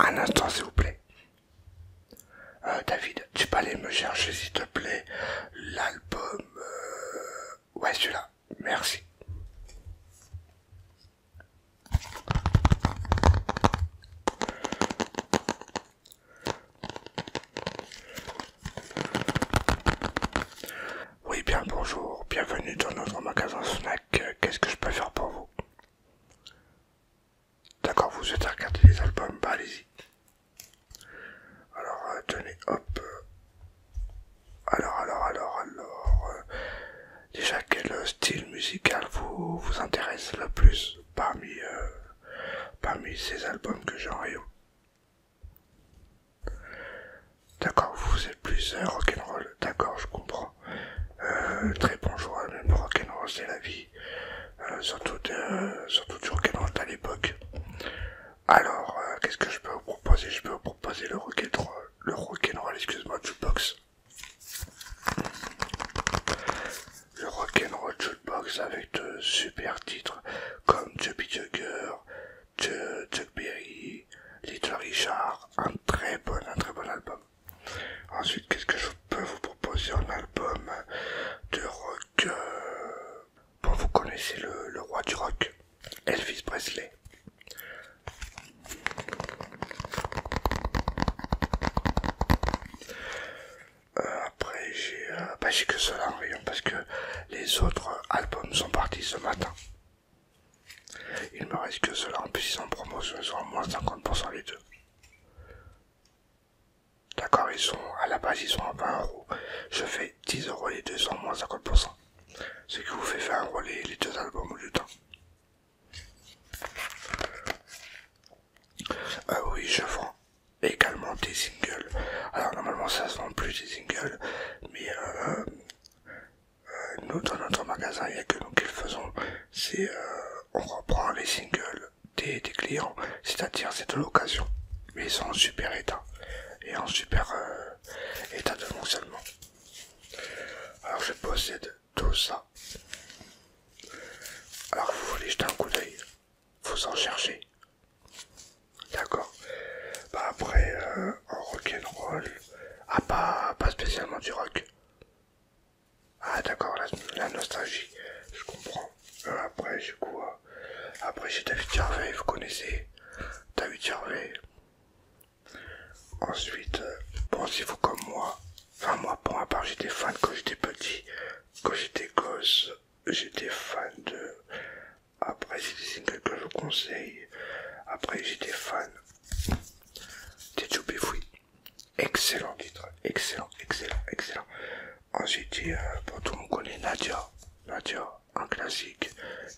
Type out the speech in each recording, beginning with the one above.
Un instant s'il vous plaît. Euh, David, tu peux aller me chercher s'il te plaît l'album... Euh, ouais celui-là. Merci. Oui bien bonjour, bienvenue dans notre magasin Snack. Euh, qu'est-ce que je peux faire pour vous D'accord, vous souhaitez regarder les albums, bah allez-y. Alors, euh, tenez, hop. Alors, alors, alors, alors. Euh, déjà, quel euh, style musical vous, vous intéresse le plus parmi, parmi ces albums que j'ai en rayon D'accord, vous êtes plus rock'n'roll, d'accord, je comprends. Euh, très bon choix, le rock'n'roll c'est la vie. Euh, surtout, du rock'n'roll à l'époque. Alors, euh, qu'est-ce que je peux vous proposer Je peux vous proposer le rock'n'roll, le rock'n'roll, excuse-moi, jukebox. Le rock'n'roll jukebox avec de super titres comme Chubby Jugger, Chuck Berry, Little Richard, un très bon, un très bon album. Ensuite, qu'est-ce que je peux vous proposer en album de rock euh, Bon, vous connaissez le, roi du rock, Elvis Presley. Euh, après, j'ai euh, bah, que cela en rayon parce que les autres albums sont partis ce matin. Il me reste que cela, en plus ils sont en promotion, ils sont à moins 50% les deux. D'accord, ils sont à la base, ils sont à 20 Je fais 10 euros les deux en moins 50%. Ce qui vous fait faire euros les, les deux albums au lieu d'un. Ah oui, je vends également des singles. Alors normalement ça se vend plus des singles, mais euh, euh, nous, dans notre magasin, il n'y a que nous qui faisons. C'est euh, on reprend les singles des, clients, c'est-à-dire c'est de l'occasion. Mais ils sont en super état et en super euh, état de fonctionnement. Alors je possède tout ça. Alors vous voulez jeter un coup d'œil, vous en cherchez. D'accord. Bah après, en rock rock'n'roll, ah pas, pas spécialement du rock. Ah d'accord, la, nostalgie, je comprends. Euh, après, j'ai quoi, euh, après j'ai David Gervais, vous connaissez David Gervais Ensuite, euh, pensez-vous comme moi Enfin, moi, pour à part, j'étais fan quand j'étais petit, quand j'étais gosse, j'étais fan de... Après, j'ai des singles que je vous conseille. Après, j'étais fan des Joubéfoui. Excellent titre, excellent, excellent, excellent. Ensuite, euh, tout le monde connaît Nadia. Nadia, un classique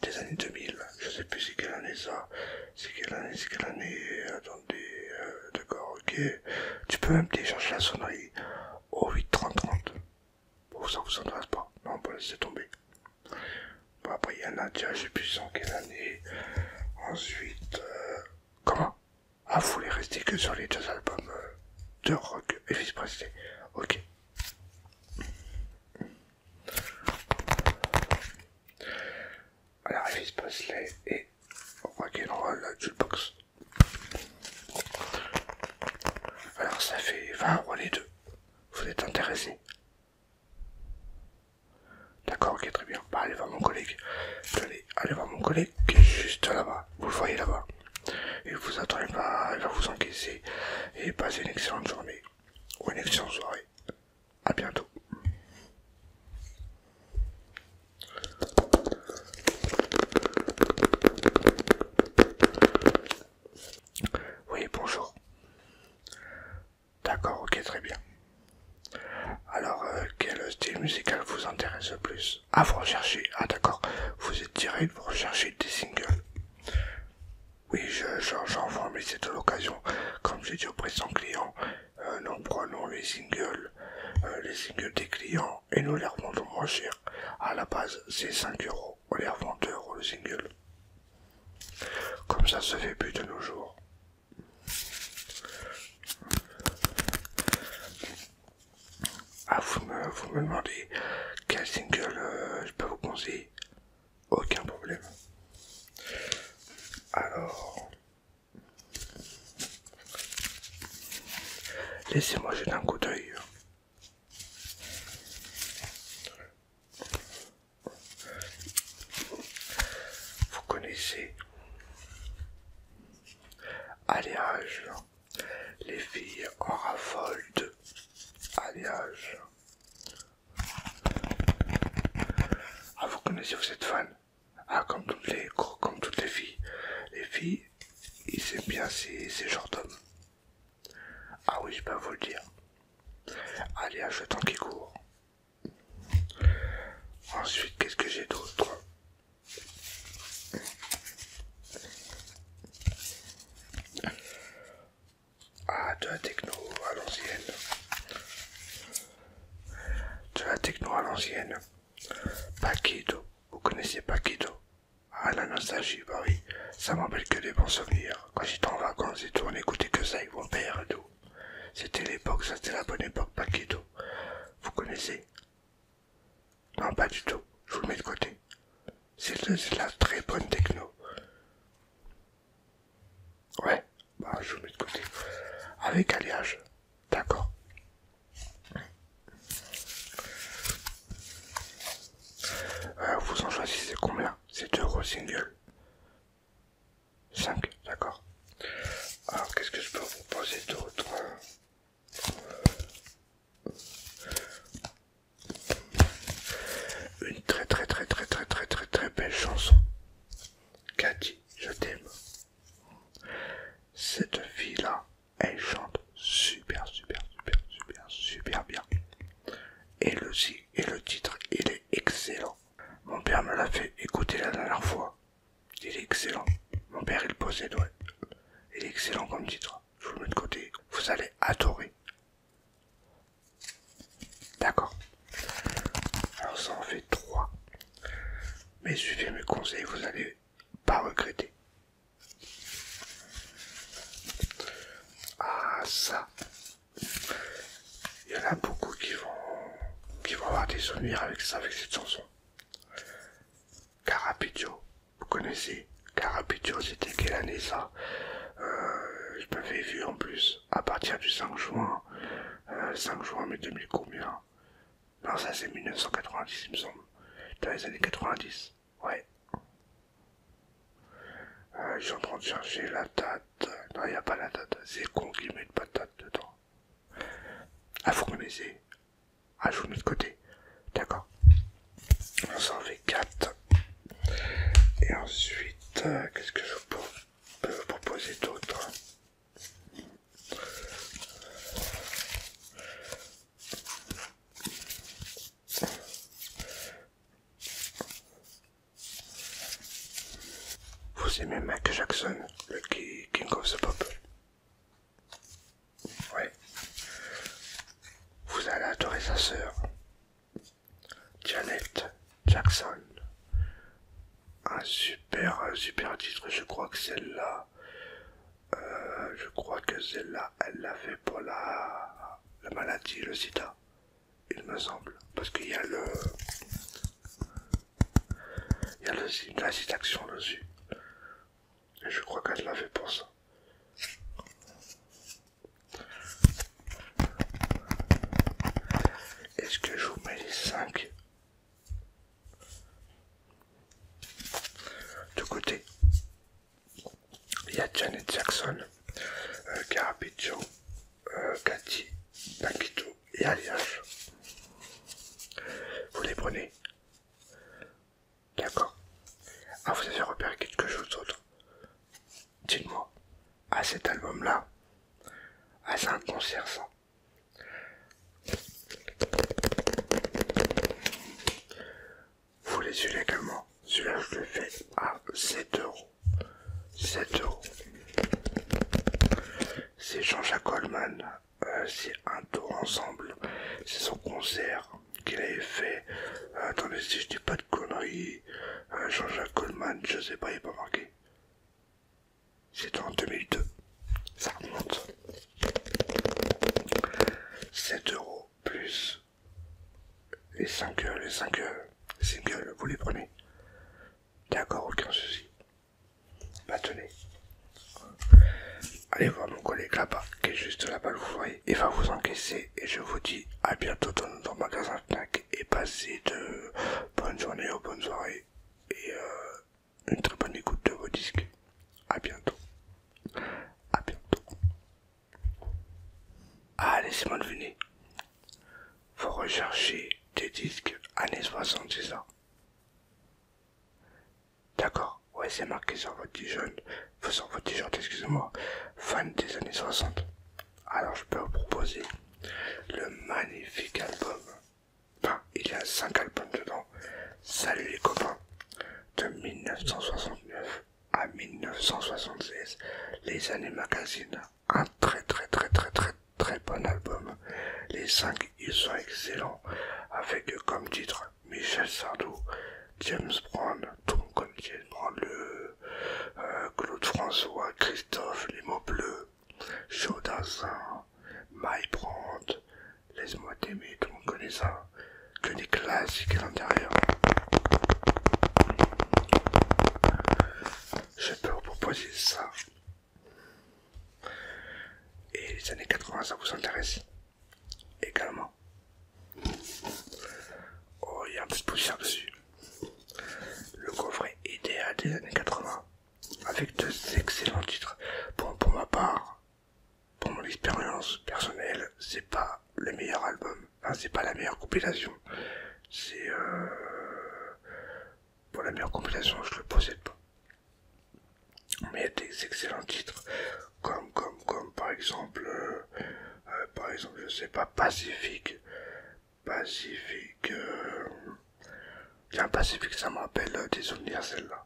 des années 2000. Je sais plus c'est quelle année ça. C'est quelle année, c'est quelle année. Attendez, euh, d'accord, ok. Tu peux même télécharger la sonnerie au 8.30.30. Bon, ça vous intéresse pas. Non, on peut laisser tomber. Bon, après, il y a Nadia, je sais plus en quelle année. Ensuite, euh, Comment Ah, vous voulez rester que sur les deux albums euh, de Rock et vice Presley. Ok. Alors, Elvis Presley et Rock'n'Roll euh, Jukebox. Alors, ça fait 20 euros les deux. Vous êtes intéressés D'accord, ok, très bien. Bah, allez voir mon collègue. Allez, allez voir mon collègue qui est juste là-bas. Vous le voyez là-bas. Il vous attendez pas, il va vous encaisser. Et passez une excellente journée. Ou une excellente soirée. A bientôt. Oui, bonjour. D'accord, ok, très bien. Alors, euh, quel style musical vous intéresse le plus Ah, vous recherchez, ah d'accord, vous êtes direct, vous recherchez des singles. Oui, j'en je, vois, mais c'est de l'occasion. Comme j'ai dit au présent client, euh, nous prenons les singles, euh, les singles des clients et nous les revendons moins cher. À la base, c'est 5 euros, on les revend 2 euros le single. Comme ça se fait plus de nos jours. Ah, vous me, vous me demandez quel single euh, je peux vous conseiller Aucun problème. Alors, laissez-moi jeter un coup d'œil. Vous connaissez Alliage. Les filles en raffole de Alliage. Ah, vous connaissez, vous êtes fan Ah, comme toutes les, filles. Les filles, ils aiment bien ces, ces genres d'hommes. Ah oui, je peux vous le dire. Aléage le temps qui court. Ensuite, qu'est-ce que j'ai d'autre Ah, de la techno à l'ancienne. De la techno à l'ancienne. Paquito. Vous connaissez Paquito Ah, la nostalgie, bah oui. Ça m'appelle que des bons souvenirs. Quand j'étais en vacances et tout, on écoutait que ça ils vont père et tout. C'était l'époque, ça c'était la bonne époque, Paquito. Vous connaissez Non, pas du tout. Je vous le mets de côté. C'est la très bonne techno. Ouais, bah je vous le mets de côté. Avec alliage. D'accord. Euh, vous en choisissez combien C'est deux gros 5, d'accord. Alors, qu'est-ce que je peux vous proposer d'autre hein Une très très très très très très très très belle chanson. Cathy, je t'aime. Cette fille-là, elle chante super super super super super bien. Et le, et le titre, il est excellent. Mon père me l'a fait écouter la dernière fois. Il est excellent. Mon père, il possède, ouais. Il est excellent comme titre. Je vous le mets de côté. Vous allez adorer. D'accord. Alors ça en fait trois. Mais suivez mes conseils, vous allez pas regretter. Ah ça, il y en a beaucoup qui vont, qui vont avoir des souvenirs avec ça, avec cette chanson. Carapitio, vous connaissez Carapitio, c'était quelle année ça Je euh, m'avais vu en plus à partir du 5 juin, 5 euh, juin mais 2000 combien Non, ça c'est 1990 il me semble, dans les années 90, ouais. je euh, suis en train de chercher la date. Non, il n'y a pas la date. C'est con qui met une patate dedans. Ah, vous connaissez Ah, je vous mets de côté. D'accord. On s'en fait 4. Et ensuite, euh, qu'est-ce que je peux vous proposer d'autre vous aimez Mike Jackson, le King of the Pop Oui. Vous allez adorer sa sœur, Janet Jackson. Un super, super titre, je crois que celle-là, euh, je crois que celle-là, elle l'a fait pour la, la maladie, le sida il me semble, parce qu'il y a le, il y a le, la citation dessus, et je crois qu'elle l'a fait pour ça. Est-ce que je vous mets les 5 de côté Il y a Janet Jackson, Garabito, euh, Carapiccio, euh, Cathy et alliage. Vous les prenez D'accord. Ah, vous avez repéré quelque chose d'autre Dites-moi, à cet album-là, à ah, c'est un Vous les celui-là également Celui-là, je le fais à 7 euros. 7 euros. C'est Jean-Jacques Coleman. Euh, c'est un tour ensemble. C'est son concert qu'il avait fait. attendez, si je dis pas de conneries, euh, Jean-Jacques Coleman, je sais pas, il n'est pas marqué. C'était en 2002. Ça remonte. 7 euros plus et 5 les 5 euh, singles, vous les prenez. D'accord, aucun souci. Maintenez. Bah, Allez voir mon collègue là-bas, qui est juste là-bas, vous voyez. Il va vous encaisser et je vous dis à bientôt dans notre magasin Fnac et passez de bonnes journées aux bonnes soirées et euh, une très bonne écoute de vos disques. À bientôt. À bientôt. Ah, laissez-moi deviner vous recherchez des disques années 70 ans. D'accord, ouais c'est marqué sur votre jeune, sur votre tigeon excusez-moi, fan des années 60. Alors je peux vous proposer le magnifique album, enfin il y a 5 albums dedans, Salut les copains, de 1969 à 1976, les années magazines un très très très très très très bon album. Les cinq ils sont excellents. Avec comme titre Michel Sardou, James Brown, tout connaît James Brown, euh, Claude François, Christophe, Les Mots Bleus, Chaudassin, My Brand, Laisse-moi t'aimer, tout le monde ça. Que des classiques à l'intérieur. Je peux vous proposer ça. Et les années 80, ça vous intéresse également. Oh, il y a un peu poussière dessus. Le coffret idéal des années 80, avec deux excellents titres. Bon, pour ma part, pour mon expérience personnelle, c'est pas le meilleur album. c'est pas la meilleure compilation. C'est euh, pour la meilleure compilation, je le possède pas. Mais il y a des excellents titres, comme, comme, comme par exemple, euh, euh, par exemple, je sais pas, Pacifique. Pacifique. Euh, a un Pacifique, ça me rappelle des souvenirs, celle-là.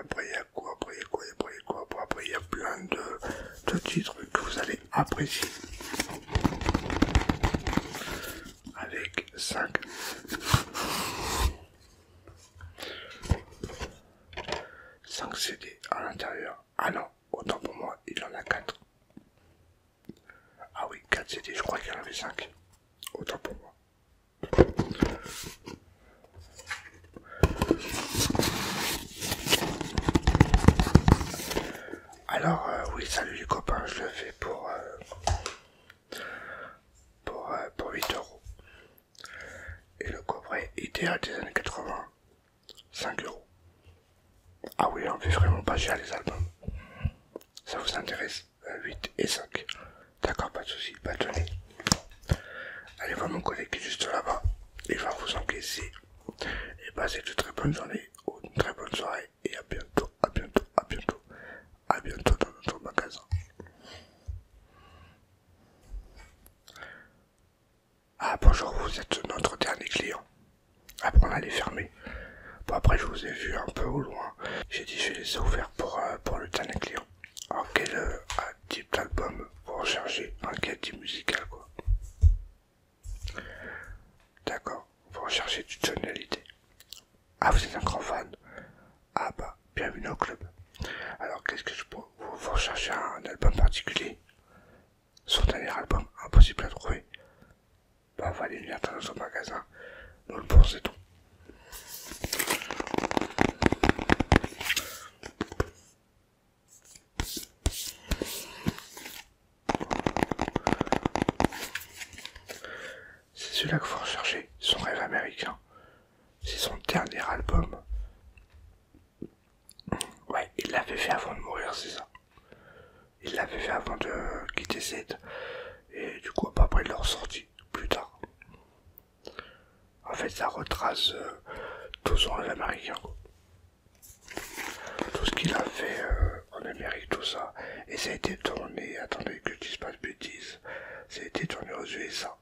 après, il y a quoi Après, il y a quoi Après, il y a quoi Après, il y a plein de, de titres que vous allez après apprécié avec 5 5 CD à l'intérieur. Ah non, autant pour moi, il en a 4. Ah oui, 4 CD, je crois qu'il en avait 5. Autant pour moi. Alors euh, oui, salut les copains, je le fais pour euh, pour, 8 euh, euros. Et le cobra idéal des années 80, 5 euros. Ah oui, on fait vraiment pas cher les albums. Ça vous intéresse 8 et 5. D'accord, pas de soucis, pas de Allez voir mon collègue qui est juste là-bas. Il va vous encaisser. Et passez de très bonnes journées ou une très bonne soirée et à bientôt, à bientôt, à bientôt, à bientôt dans notre magasin. Ah bonjour, vous êtes notre dernier client. Après ah, on allait fermer. Bon après je vous ai vu un peu au loin. J'ai dit je vais ai ouverts euh, pour, le dernier client. Alors quel euh, type d'album vous recherchez Un type musical quoi D'accord, vous recherchez du tonalité. Ah, vous êtes un grand fan Ah bah, bienvenue au club. Alors, qu'est-ce que je peux... Vous recherchez un album particulier Son dernier album, impossible à trouver. Bah, va aller attendre dans son magasin. Nous le pensons c'est celui-là que faut rechercher, son rêve américain. C'est son dernier album. Ouais, il l'avait fait avant de mourir, c'est ça. Il l'avait fait avant de quitter Z. Et du coup, après, il l'a ressorti plus tard. En fait, ça retrace euh, tout son rêve américain tout ce qu'il a fait euh, en Amérique, tout ça. Et ça a été tourné, attendez que je dis pas de bêtises, ça a été tourné aux USA.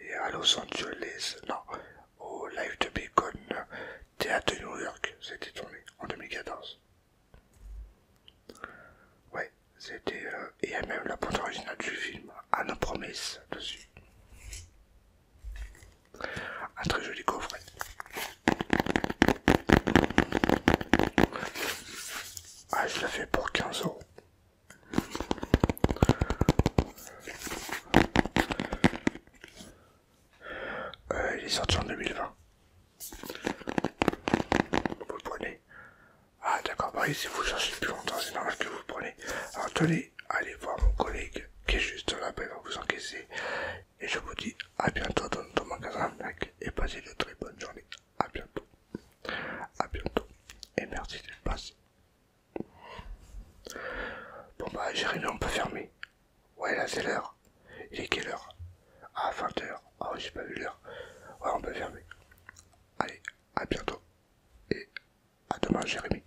Et à Los Angeles, non, au Live de Bacon, Théâtre New York, été tourné en 2014. Ouais, c'était. Euh, et il même la bande originale du film, à nos promesses, dessus. Un très joli coffret. Ah, je fait pour 15 euros. Euh, il est sorti en 2020. Vous le prenez. Ah d'accord, oui si vous cherchez plus longtemps, c'est normal que vous le prenez. Alors tenez, allez voir mon collègue qui est juste là, il va vous encaisser. Et je vous dis à bientôt dans notre magasin et passez de très bonnes journées. À bientôt. À bientôt. Et merci de passer Bon bah Jérémy on peut fermer, Ouais là c'est l'heure. Il est quelle heure Ah 20h. Ah oui j'ai pas vu l'heure. Ouais on peut fermer. Allez, à bientôt. Et à demain Jérémy.